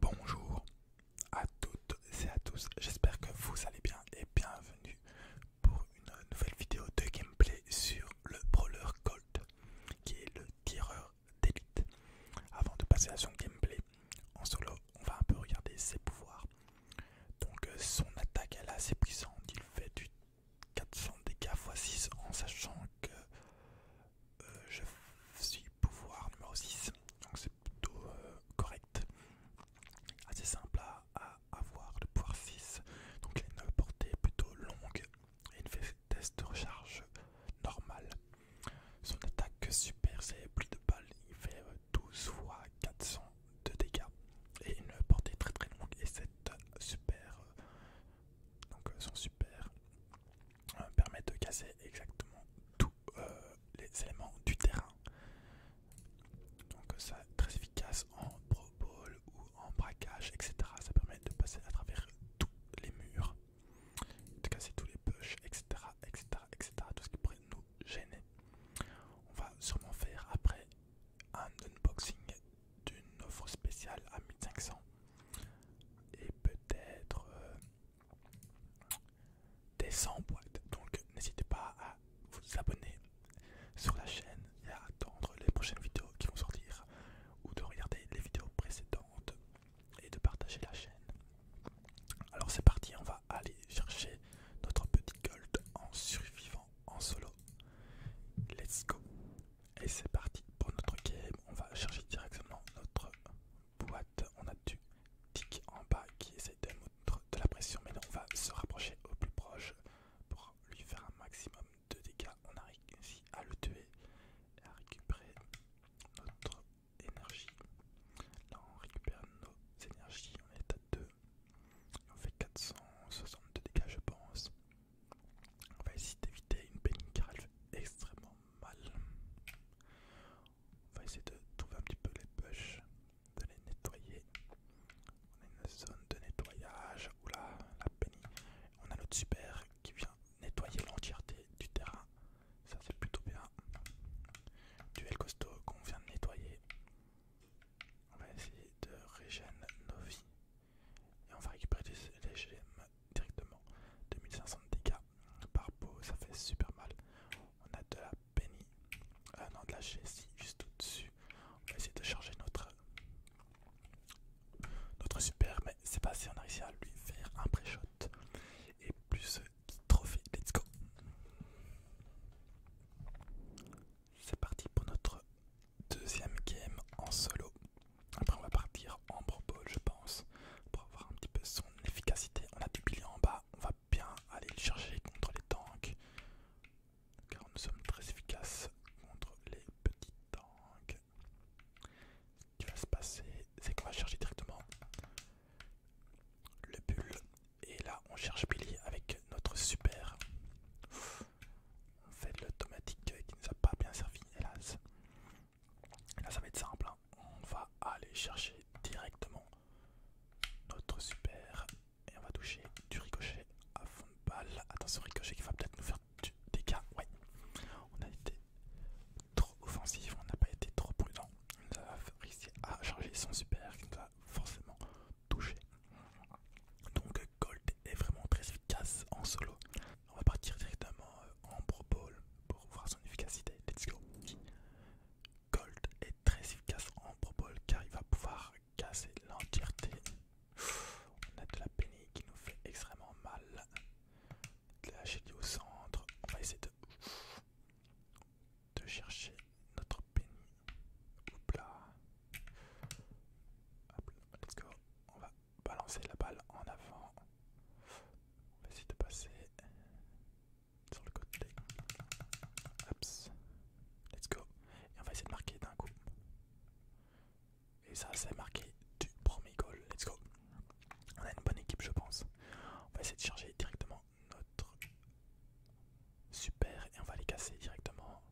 Bonjour à toutes et à tous, j'espère que vous allez bien et bienvenue pour une nouvelle vidéo de gameplay sur le Brawler Gold qui est le tireur d'élite. Avant de passer à son gameplay en solo, on va un peu regarder ses pouvoirs. Donc euh, son attaque elle est assez puissante, il fait du 400 dégâts x 6 en sachant que euh, je suis pouvoir numéro 6, donc c'est plutôt euh, correct, assez simple à, avoir, le pouvoir 6, donc il a une portée plutôt longue et une test de recharge normale. Son attaque super, c'est plus de balles, il fait 12 euh, fois 400 de dégâts et une portée très très longue et cette super, euh, donc son super euh, permet de casser exactement tous euh, les éléments du terrain. Donc euh, ça très efficace en pro ou en braquage, etc. Ça permet de passer à travers tous les murs, de casser tous les push etc., etc., etc. Tout ce qui pourrait nous gêner. On va sûrement faire après un unboxing d'une offre spéciale à 1500 et peut-être euh, des 100 boîtes. Donc n'hésitez pas à vous abonner sur la chaîne et à attendre les prochaines vidéos qui vont sortir ou de regarder les vidéos précédentes et de partager la chaîne. Alors c'est parti, on va aller chercher notre petit gold en survivant en solo. Let's go et c'est parti pour notre game. On va chercher directement notre boîte. On a du tic en bas qui essaye de mettre de la pression. Mais on va se rapprocher au plus proche pour lui faire un maximum de dégâts. On arrive ici à le tuer et à récupérer notre énergie. Là, on récupère nos énergies. On est à 2. On fait 462 dégâts, je pense. On va essayer d'éviter une peigne car elle fait extrêmement mal. On va essayer de trouver un petit peu les poches, de les nettoyer. On a une zone de nettoyage. Oula, la pénie... On a l'autre super qui vient nettoyer l'entièreté du terrain. Ça c'est plutôt bien. Duel costaud qu'on vient de nettoyer. On va essayer de régénérer nos vies. Et on va récupérer les GM directement. 2500 de dégâts par peau, ça fait super mal. On a de la Penny, euh, non de la GSI juste au-dessus. On va essayer de charger notre, notre super, mais c'est pas si on a réussi à lui faire un pré-shot. Et plus euh, trophée, let's go! C'est parti pour notre deuxième game en solo. Après on va partir en Pro je pense pour avoir un petit peu son efficacité. On a du billy en bas, on va bien aller le chercher contre les tanks car nous sommes très efficaces contre les petits tanks. Ce qui va se passer, c'est qu'on va chercher directement le bull et là on cherche Billy avec notre super fait le tomatique qui nous a pas bien servi, hélas. Là, ça va être simple. Hein. On va aller chercher directement notre super et on va toucher du ricochet à fond de balle. Attention, ricochet qui va peut-être nous faire du dégât. Ouais, on a été trop offensif, on n'a pas été trop prudent. On nous a réussi à charger son super qui nous a forcément touché. Donc Gold est vraiment très efficace en solo. On va partir directement euh, en Pro Ball pour voir son efficacité. Let's go. Gold est très efficace en Pro Ball car il va pouvoir casser l'entièreté. On a de la Penny qui nous fait extrêmement mal. De la au centre. On va essayer de, chercher notre Penny let's go. On va balancer la balle en avant. On va essayer de passer sur le côté. Let's go. Et on va essayer de marquer d'un coup. Et ça, c'est marqué du premier goal. Let's go. On a une bonne équipe, je pense. On va essayer de charger directement notre super et on va les casser directement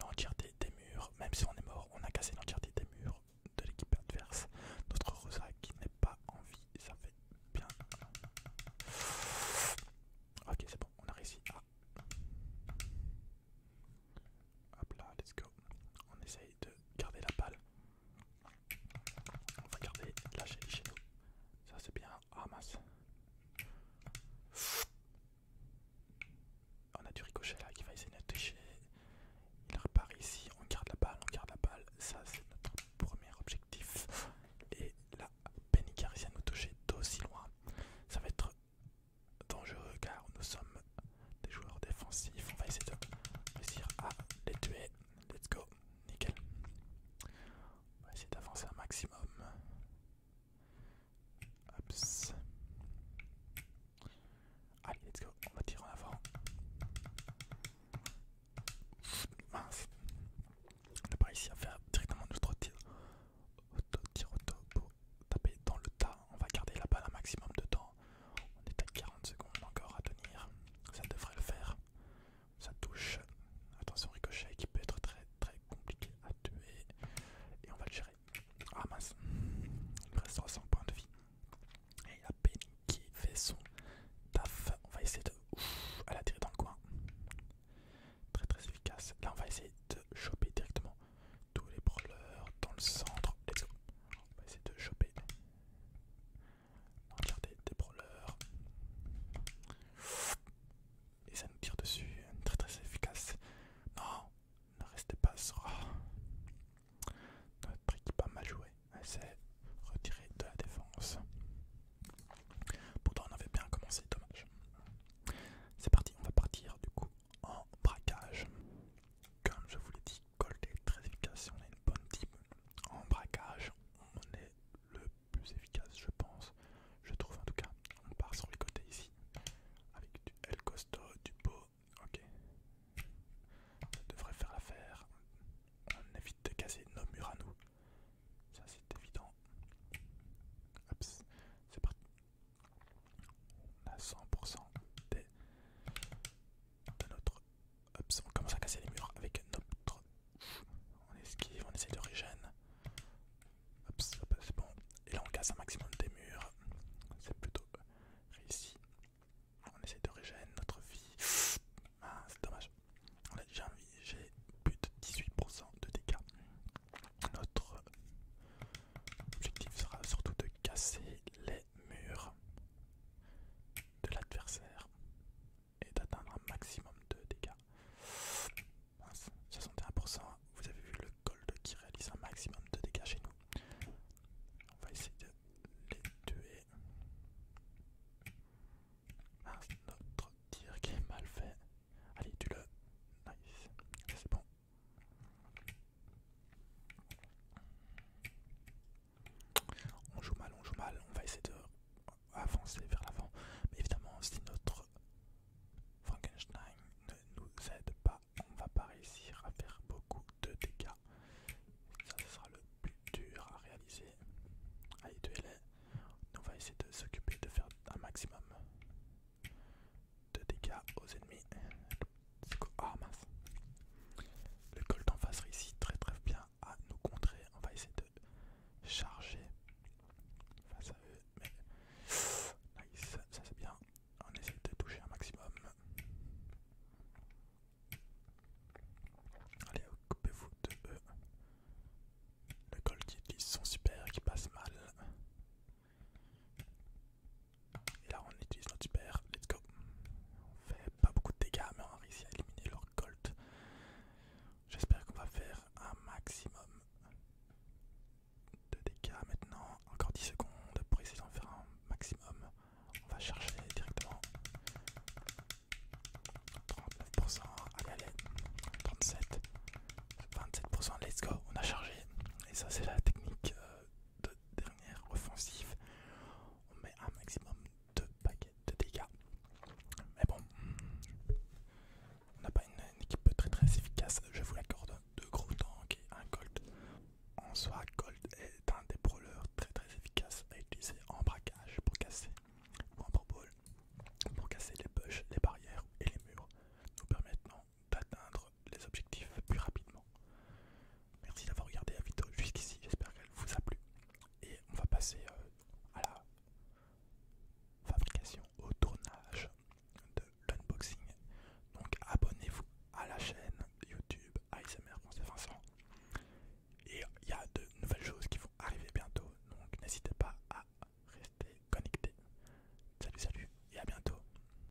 l'entièreté des murs, même si on est mort, on a cassé l'entièreté des murs de l'équipe adverse. Notre Rosa qui n'est pas en vie, ça fait bien. Ok, c'est bon, on a réussi à. Ah. Hop là, let's go. On essaye de garder la balle. On va garder la chez nous. Ça c'est bien. Ah on a du ricochet là qui va essayer de nous toucher. Il repart ici, on garde la balle, on garde la balle. Ça c'est notre premier objectif. Et là, Penny réussi à nous toucher d'aussi loin. Ça va être dangereux car nous sommes des joueurs défensifs. On va essayer de réussir à les tuer. Let's go. Nickel. On va essayer d'avancer un maximum. Allez, let's go. On va tirer en avant. On n'a pas réussi à faire directement notre tir. Auto-tir auto pour taper dans le tas. On va garder la balle un maximum de temps. On est à 40 secondes encore à tenir. Ça devrait le faire ça touche. Attention, ricochet qui peut être très très compliqué à tuer. Et on va le gérer. Ah mince, il reste 300 points de vie. Et la peine qui fait son taf. On va essayer de. Ouf, elle a tiré dans le coin. Très très efficace. Là, on va essayer de choper directement tous les brûleurs dans le centre. On va essayer de choper. Regardez, des brawlers. Et ça nous tire dessus, très très efficace. Non, ne restez pas sur... Oh. Notre équipe pas mal joué, C'est retirer de la défense. Pourtant on avait bien commencé, dommage. C'est parti, on va partir du coup en braquage. Comme je vous l'ai dit, Gold est très efficace, on est une bonne team. En braquage, on est le plus efficace, je pense. Je trouve en tout cas. On part sur les côtés ici, avec du El Costo, du beau Ok, ça devrait faire l'affaire. On évite de casser nos murs à nous. Ça c'est évident. C'est parti. On a 100% des notre... on commence à casser les murs avec notre... On esquive, on essaie de régène. c'est bon. Et là on casse un maximum des murs. C'est plutôt réussi. On essaie de régène notre vie. Ah, c'est dommage. On a déjà j'ai plus de 18% de dégâts. Notre objectif sera surtout de casser les mur de l'adversaire et d'atteindre un maximum de dégâts. 61%, vous avez vu le gold qui réalise un maximum de dégâts chez nous. On va essayer de les tuer. notre tir qui est mal fait. Allez, tu le Nice, c'est bon on joue mal, on joue mal, on va essayer de avancer vers l'avant. Mais évidemment, si notre Frankenstein ne nous aide pas, on va pas réussir à faire beaucoup de dégâts. Ça, ce sera le plus dur à réaliser. Allez, de On va essayer de s'occuper de faire un maximum de dégâts aux ennemis. Ah, Le col d'en face réussit très très bien à nous contrer. On va essayer de charger face à eux. Mais... Nice, ça c'est bien. On essaie de toucher un maximum. Allez, occupez-vous de eux. Le col qui utilise son super qui passe mal. Et là on utilise notre super, let's go. On fait pas beaucoup de dégâts mais on a réussi à éliminer leur colt. J'espère qu'on va faire un maximum de dégâts maintenant. Encore 10 secondes pour essayer d'en faire un maximum. On va charger directement 39%, allez allez, 37, 27%, let's go, on a chargé. Et ça c'est la technique euh, de dernière offensive, on met un maximum de paquets de dégâts. Mais bon, on n'a pas une, équipe très très efficace, je vous l'accorde. Deux gros tanks et un colt. En soi, colt est un des brawlers très très efficace à utiliser en braquage pour casser en pour casser les push, les barrières et les murs, nous permettant d'atteindre les objectifs plus rapidement. Merci d'avoir regardé la vidéo jusqu'ici, j'espère qu'elle vous a plu. Et on va passer euh, à la fabrication, au tournage de l'unboxing. Donc abonnez-vous à la chaîne YouTube ASMR Et il y a de nouvelles choses qui vont arriver bientôt, donc n'hésitez pas à rester connecté. Salut salut et à bientôt